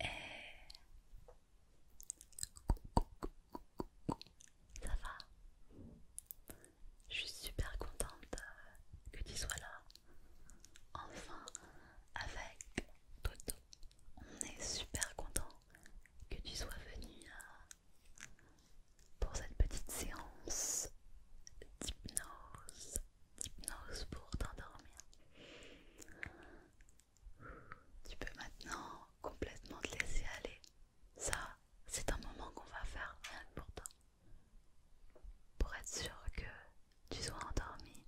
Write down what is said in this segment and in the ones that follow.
Et... Ça va Je suis super contente que tu sois là. Enfin, avec Toto, on est super content que tu sois venu euh, pour cette petite séance d'hypnose hypnose pour t'endormir. Tu peux maintenant complètement te laisser aller. Ça, c'est un moment qu'on va faire rien pour toi. Pour être sûr que tu sois endormi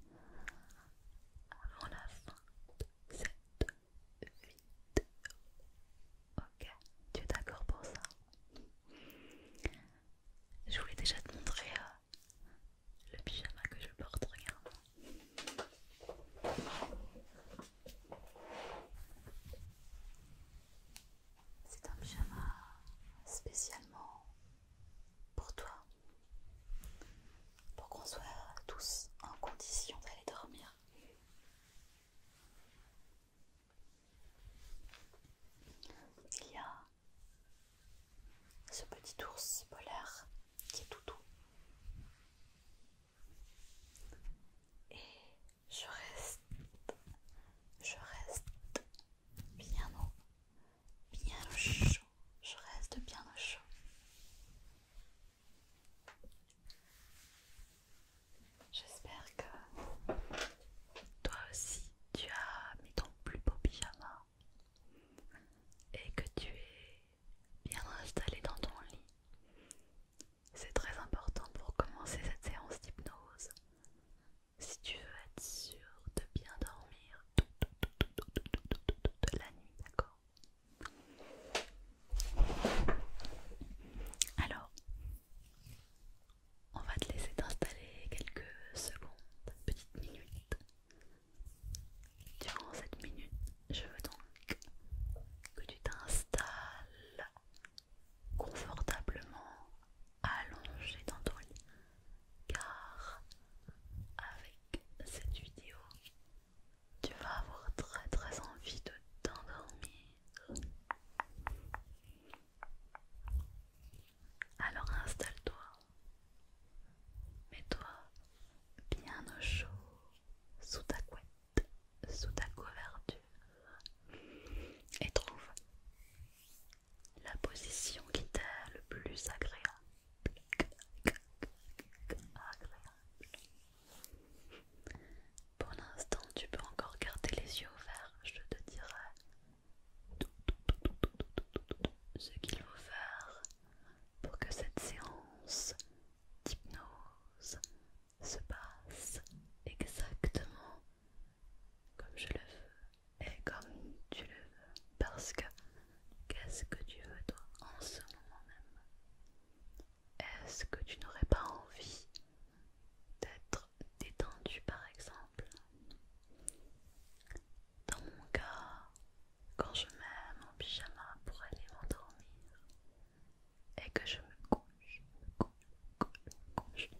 avant la fin de cette Ok, tu es d'accord pour ça je voulais déjà te montrer euh, le pyjama que je porte, regarde. C'est un pyjama spécialement pour toi, pour qu'on soit tous en condition d'aller dormir. Il y a ce petit ours polaire qui est tout doux. Et je reste, je reste bien bien au chaud, je reste bien au chaud. J'espère que toi aussi tu as mis ton plus beau pyjama et que tu es bien installé dans ton lit. C'est très important pour commencer cette séance d'hypnose. Si tu veux être sûr de bien dormir toute la nuit, d'accord Alors, on va te laisser t'installer quelques secondes, petites minutes. Durant cette minute, je veux donc que tu t'installes confortablement allongé dans ton lit, car avec cette vidéo, tu vas avoir très très envie de t'endormir. Alors installe-toi. Mets-toi bien au chaud, sous ta couette, sous ta couverture, et trouve la position qui t'est le plus agréable. Pour l'instant, tu peux encore garder les yeux ouverts, je te dirai ce qu'il faut faire pour que cette séance d'hypnose se passe exactement comme je le veux et comme tu le veux. Parce que qu'est-ce que tu veux toi en ce moment même Est-ce que tu n'aurais pas envie d'être détendu par exemple. Dans mon cas, quand je mets mon pyjama pour aller m'endormir et que je me couche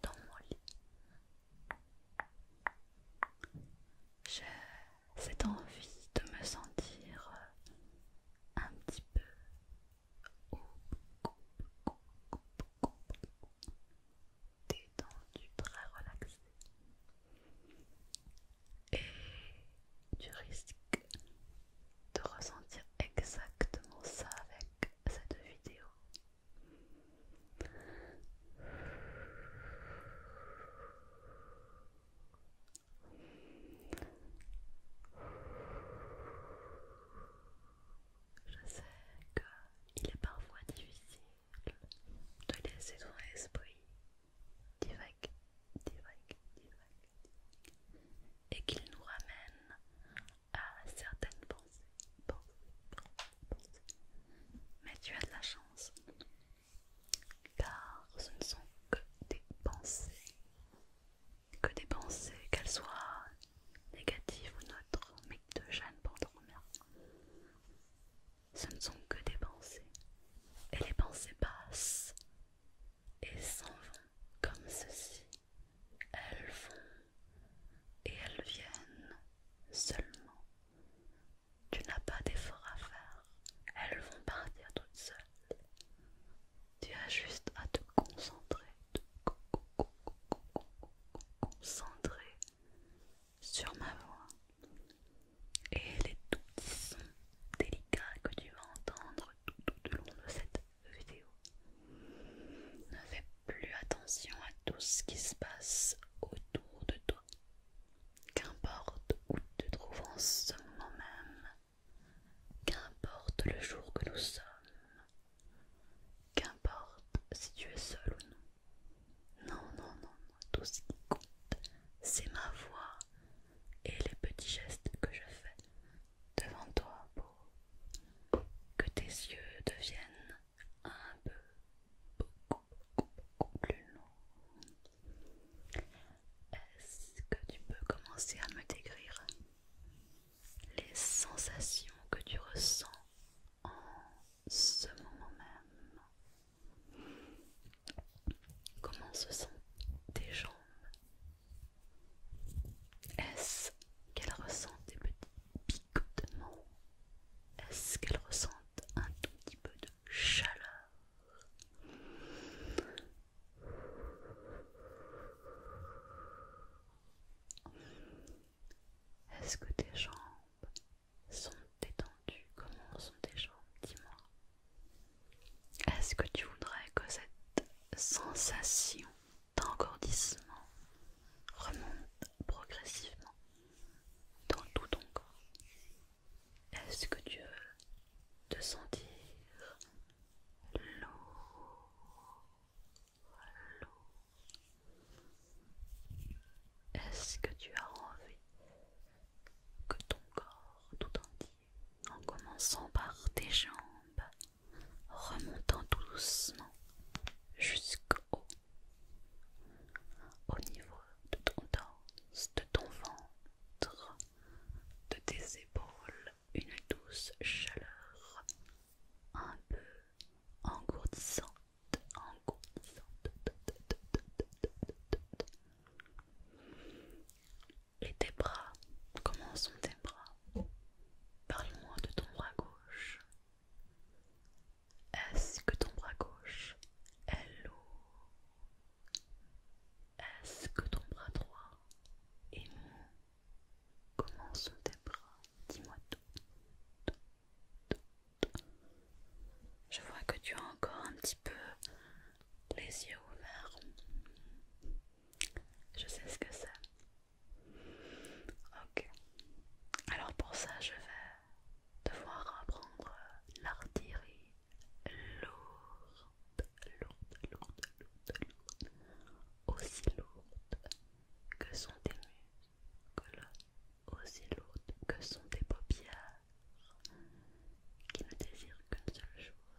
dans mon lit, j'ai cette envie de me sentir un petit peu détendu, très relaxé. Et tu risques de ressentir exactement ça avec cette vidéo. Je sais qu'il est parfois difficile de laisser ton esprit direct direct et qu'il nous ramène à certaines pensées, Mais tu as de la chance, car ce ne sont que des pensées, que des pensées, qu'elles soient négatives ou neutres, mais de jeunes gênes pour ce ne sont que des pensées, et les pensées passent et s'en vont comme ceci. Elles vont et elles viennent seulement. Tu n'as pas d'effort à faire, elles vont partir toutes seules. Tu as juste à te concentrer, concentrer sur ma voix et les tout petits délicats que tu vas entendre tout, tout au long de cette vidéo. Ne fais plus attention à tout ce qui se passe autour de toi. Qu'importe où tu te trouves en ce moment même, qu'importe le jour que nous sommes, qu'importe si tu es seul ou non. Non, non, non, tout ce qui compte, c'est ma voix et les petits gestes que je fais devant toi pour que tes yeux deviennent un peu beaucoup, beaucoup, beaucoup plus longs. Est-ce que tu peux commencer à me décrire les sensations que tu ressens en ce moment même. Comment se sentent tes jambes Est-ce qu'elles ressentent des petits picotements Est-ce qu'elles ressentent un tout petit peu de chaleur est-ce que tes jambes sont détendues Comment sont tes jambes Dis-moi. Est-ce que tu voudrais que cette sensation d'engourdissement remonte progressivement dans tout ton corps Est-ce que tu veux te sentir lourd est-ce que tu as envie que ton corps tout entier, en commençant par tes jambes, remontant doucement jusqu'au niveau de ton torse, de ton ventre, de tes épaules, une douce chaleur un peu engourdissante et tes bras, comment sont tes bras Parle-moi de ton bras gauche. Est-ce que ton bras gauche est lourd Est-ce que ton bras droit est mou Comment sont tes bras Dis-moi tout, je vois que tu as encore un petit peu les yeux ouverts. Je sais ce que c'est. Ok. Alors pour ça, je vais devoir apprendre l'artillerie lourde, lourde, lourde, lourde, lourde, aussi lourde que sont tes muscles aussi lourdes que sont tes paupières, qui ne désirent qu'une seule chose,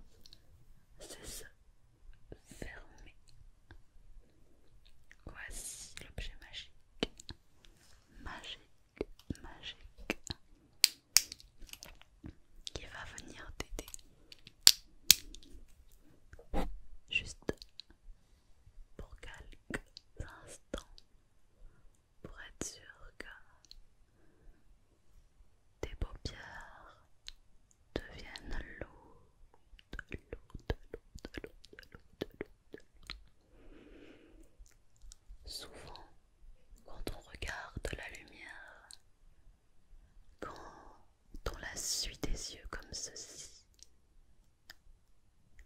c'est se fermer. Voici l'objet magique, magique, magique, qui va venir t'aider. Juste pour quelques instants pour être sûr que tes paupières deviennent lourdes, lourdes, Souvent, quand on regarde la lumière, quand on la suit des yeux comme ceci,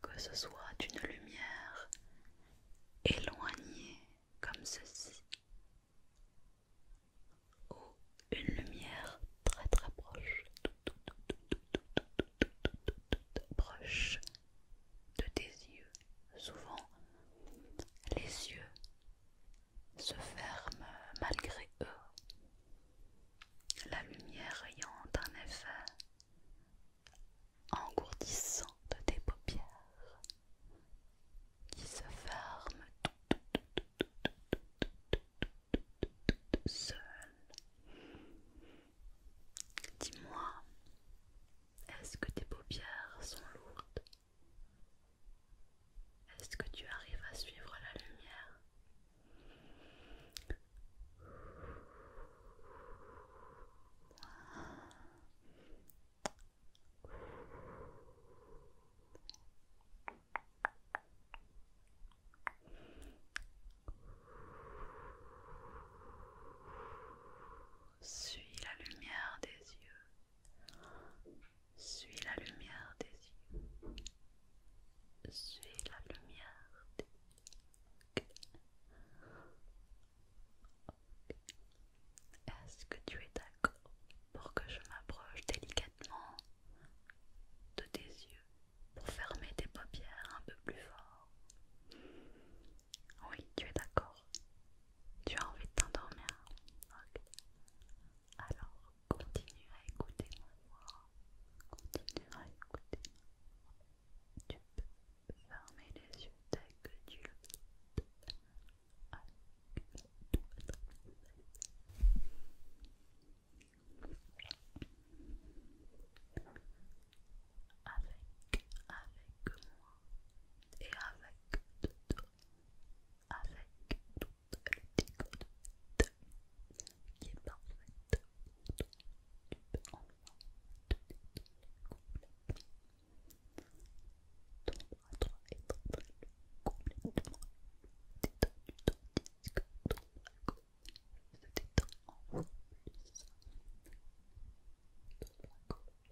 que ce soit une lumière éloignée comme ceci ou une lumière très très proche, proche de tes yeux. Souvent, les yeux se ferment malgré eux la lumière ayant un effet engourdissant de tes paupières qui se ferment tout, seul. Dis-moi, est-ce que tes paupières sont lourdes Est-ce que tu arrives à suivre la lumière suis la lumière des yeux. Suis la lumière des yeux. Suis la lumière des yeux. Est-ce que tu es d'accord pour que je m'approche délicatement de tes yeux pour fermer tes paupières un peu plus fort Oui, tu es d'accord. Tu as envie de t'endormir Ok. Alors, continue à écouter ma voix. Continue à écouter tu peux fermer les yeux dès que tu le veux. Ah, tout va Avec, avec moi et avec Toto, avec toutes les découvertes qui est parfaite pour toi. Tu peux enfin te détendre complètement. Ton bras droit est en complètement complètement détendu tandis que ton bras gauche se détend plus. Ton bras gauche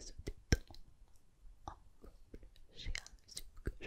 se détend encore plus. J'ai un que je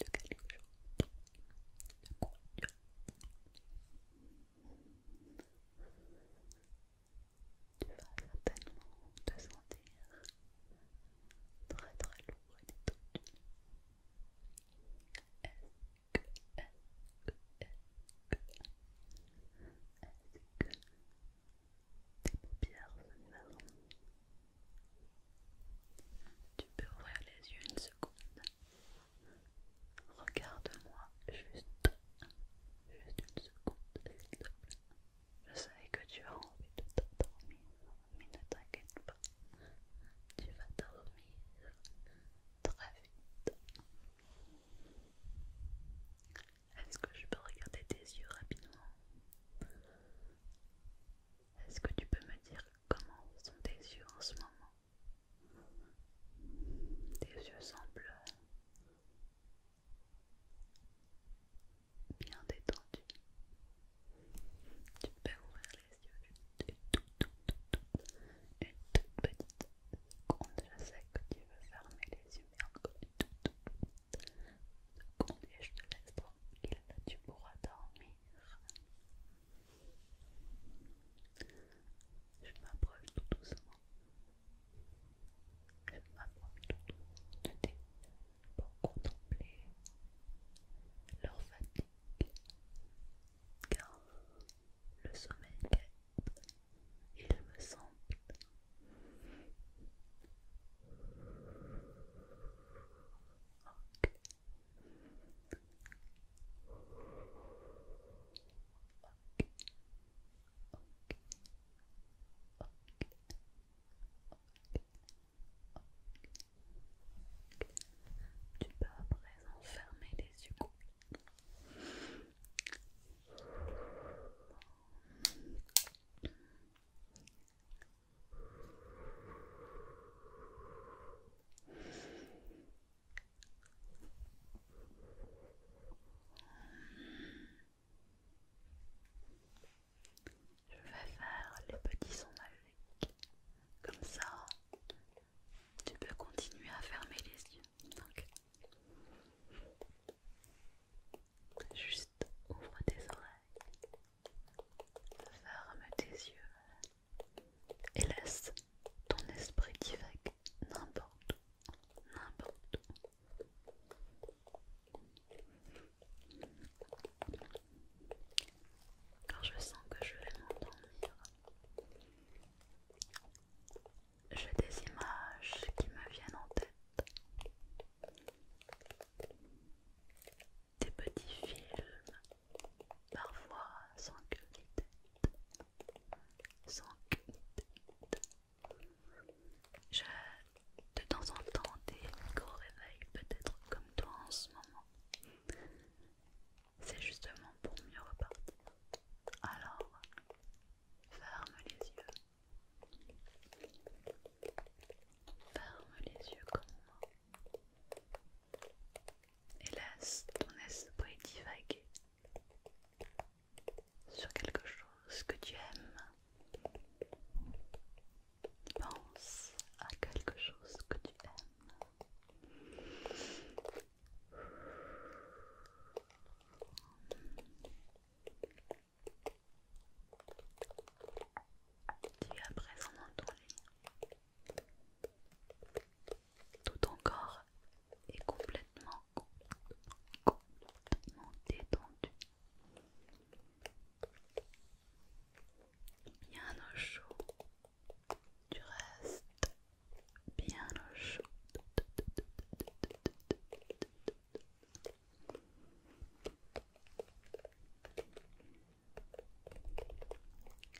de quelque chose de confiant. Tu vas certainement te sentir très très lourd et détendu. Est-ce que, est-ce que, est-ce que, tes paupières se ferment Tu peux ouvrir les yeux une seconde Regarde-moi juste, juste une seconde, Je savais que tu as envie de dormir, mais ne t'inquiète pas, tu vas dormir très vite. Est-ce que je peux regarder tes yeux rapidement est-ce que tu peux me dire comment sont tes yeux en ce moment Tes yeux semblent bien détendus. Tu peux ouvrir les yeux une toute, petite seconde. Je sais que tu veux fermer les yeux, mais encore une toute, petite seconde et je te laisse tranquille. Tu pourras dormir. Je m'approche tout doucement. Je m'approche tout doucement de pour contempler leur fatigue. Car le sommeil guette, il me semble. Tu peux à présent fermer les yeux je vais faire les petits sons avec Comme ça, tu peux continuer à fermer les yeux. juste ouvre tes oreilles. Ferme tes yeux et laisse ton esprit divaguer n'importe où, n'importe où. Quand je sens que je vais m'endormir, j'ai des images qui me viennent en tête des petits films, parfois sans que ni tête, sans queue Je, de temps en temps, des gros réveils, peut-être comme toi en ce moment. C'est justement pour mieux repartir. Alors, ferme les yeux. Ferme les yeux comme moi. Hélas, ton esprit vague sur quelque chose que tu aimes. Pense à quelque chose que tu aimes. Tu es présent tout encore est complètement, complètement détendu. Bien au chaud. Tu restes bien au chaud.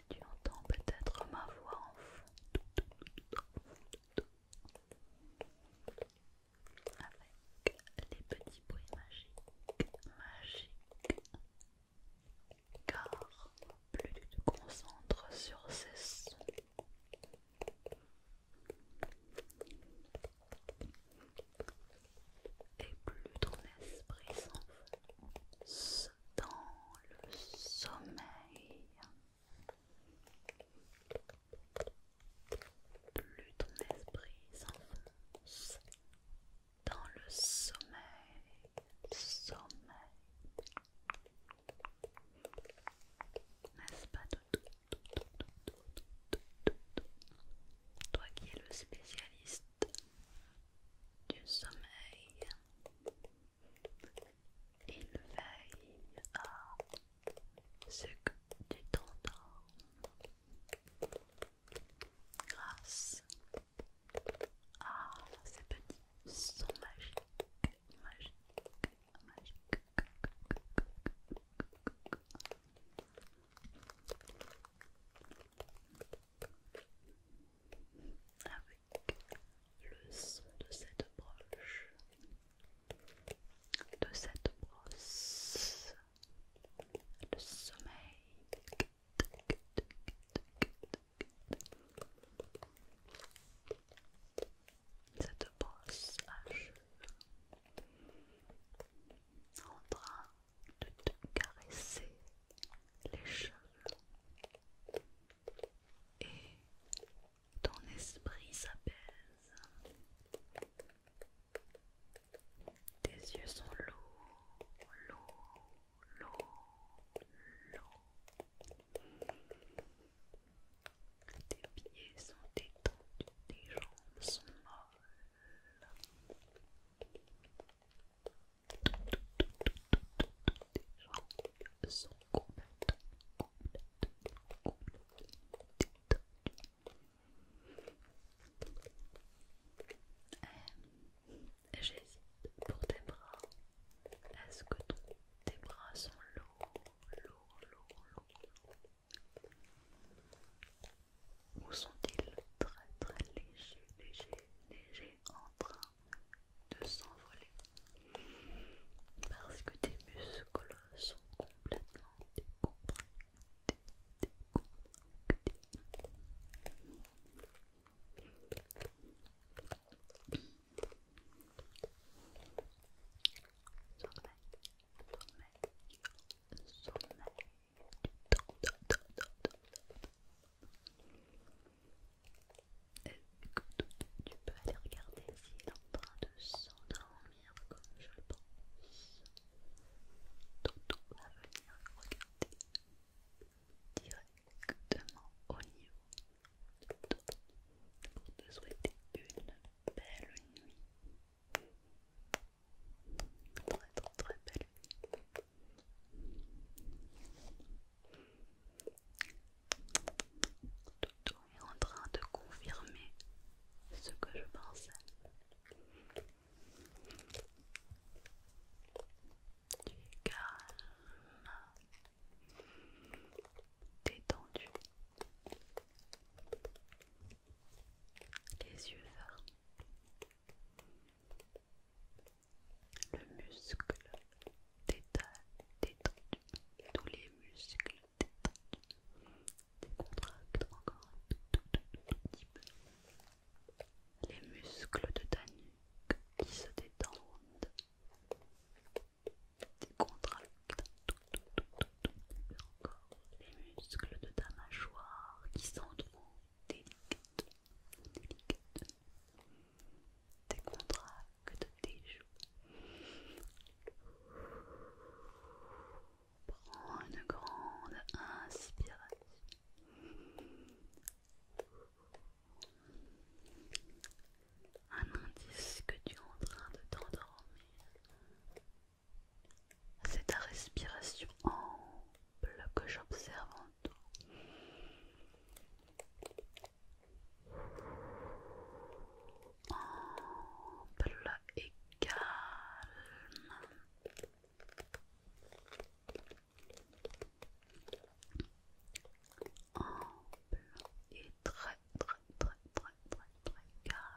Tu entends peut-être ma voix en fond avec les petits bruits magiques, magiques, car plus tu te concentres sur ces sons, et plus ton esprit s'enfonce dans le sommeil, plus ton esprit s'enfonce dans le sommeil, sommeil. N'est-ce pas Toi qui es le spécialiste du sommeil, il veille à ce que tu t'endors, grâce à ces petits sons magiques, magiques, magiques avec le son de cette broche, de cette brosse, le sommeil. Cette brosse à cheveux de te caresser les cheveux et ton esprit s'apaise. Tes yeux sont lourds, lourds, lourds, lourds. Tes pieds sont détendus, tes jambes sont molles jambes euh, sont J'hésite pour tes bras. Est-ce que tes bras sont lourds ou sont-ils très très légers, légers, légers en train de s'envoler Parce que tes muscles sont complètement décompressés. sommeil tu peux aller regarder s'il est en train de s'endormir comme je le pense. Toto va venir regarder directement au niveau de pour te souhaiter une belle nuit. Très très belle nuit. Toto est en train de confirmer ce que je pensais. Tu es calme, détendu, les yeux fermés. Le muscle détendu, tous les muscles détendus, décontractent encore un tout, petit Les muscles de ta nuque qui se détendent, décontractent tout, encore. Les muscles de ta mâchoire qui s'en délicates délicate des que joues. Prends une grande inspiration. Un indice que tu es en train de t'endormir. C'est ta respiration ample que j'observe en entend. calme. très très très très très très calme.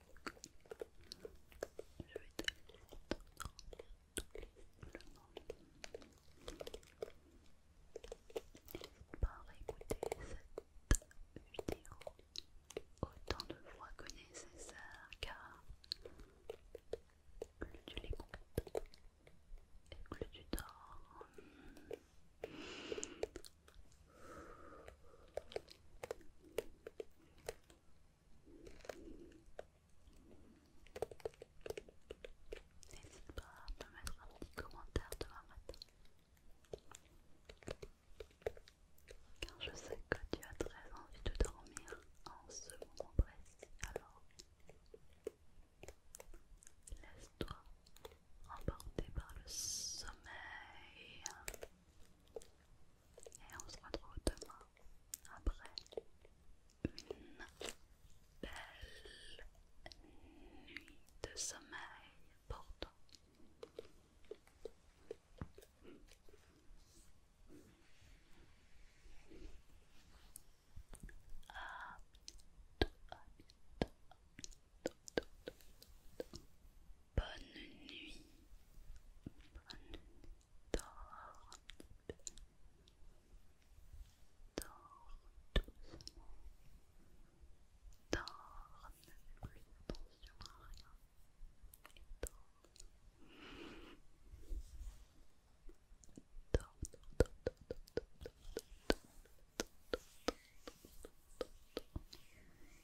Je vais te donner le temps de regarder toutes les vidéos. Il cette vidéo autant de fois que nécessaire car plus tu l'écoutes et plus tu dors. N'hésite pas à me mettre un petit commentaire demain matin. Car je sais que tu as très envie de dormir en ce moment précis, alors laisse-toi emporter par le sommeil. Et on se retrouve demain après une belle nuit de sommeil pour toi. Bonne nuit. Bonne nuit. Dors un petit peu. Dors doucement. Dors, ne fais plus attention à rien. Dors. Dors, dors, dors, dors, dors, dors, dors, dors, dors, dors, dors, dors.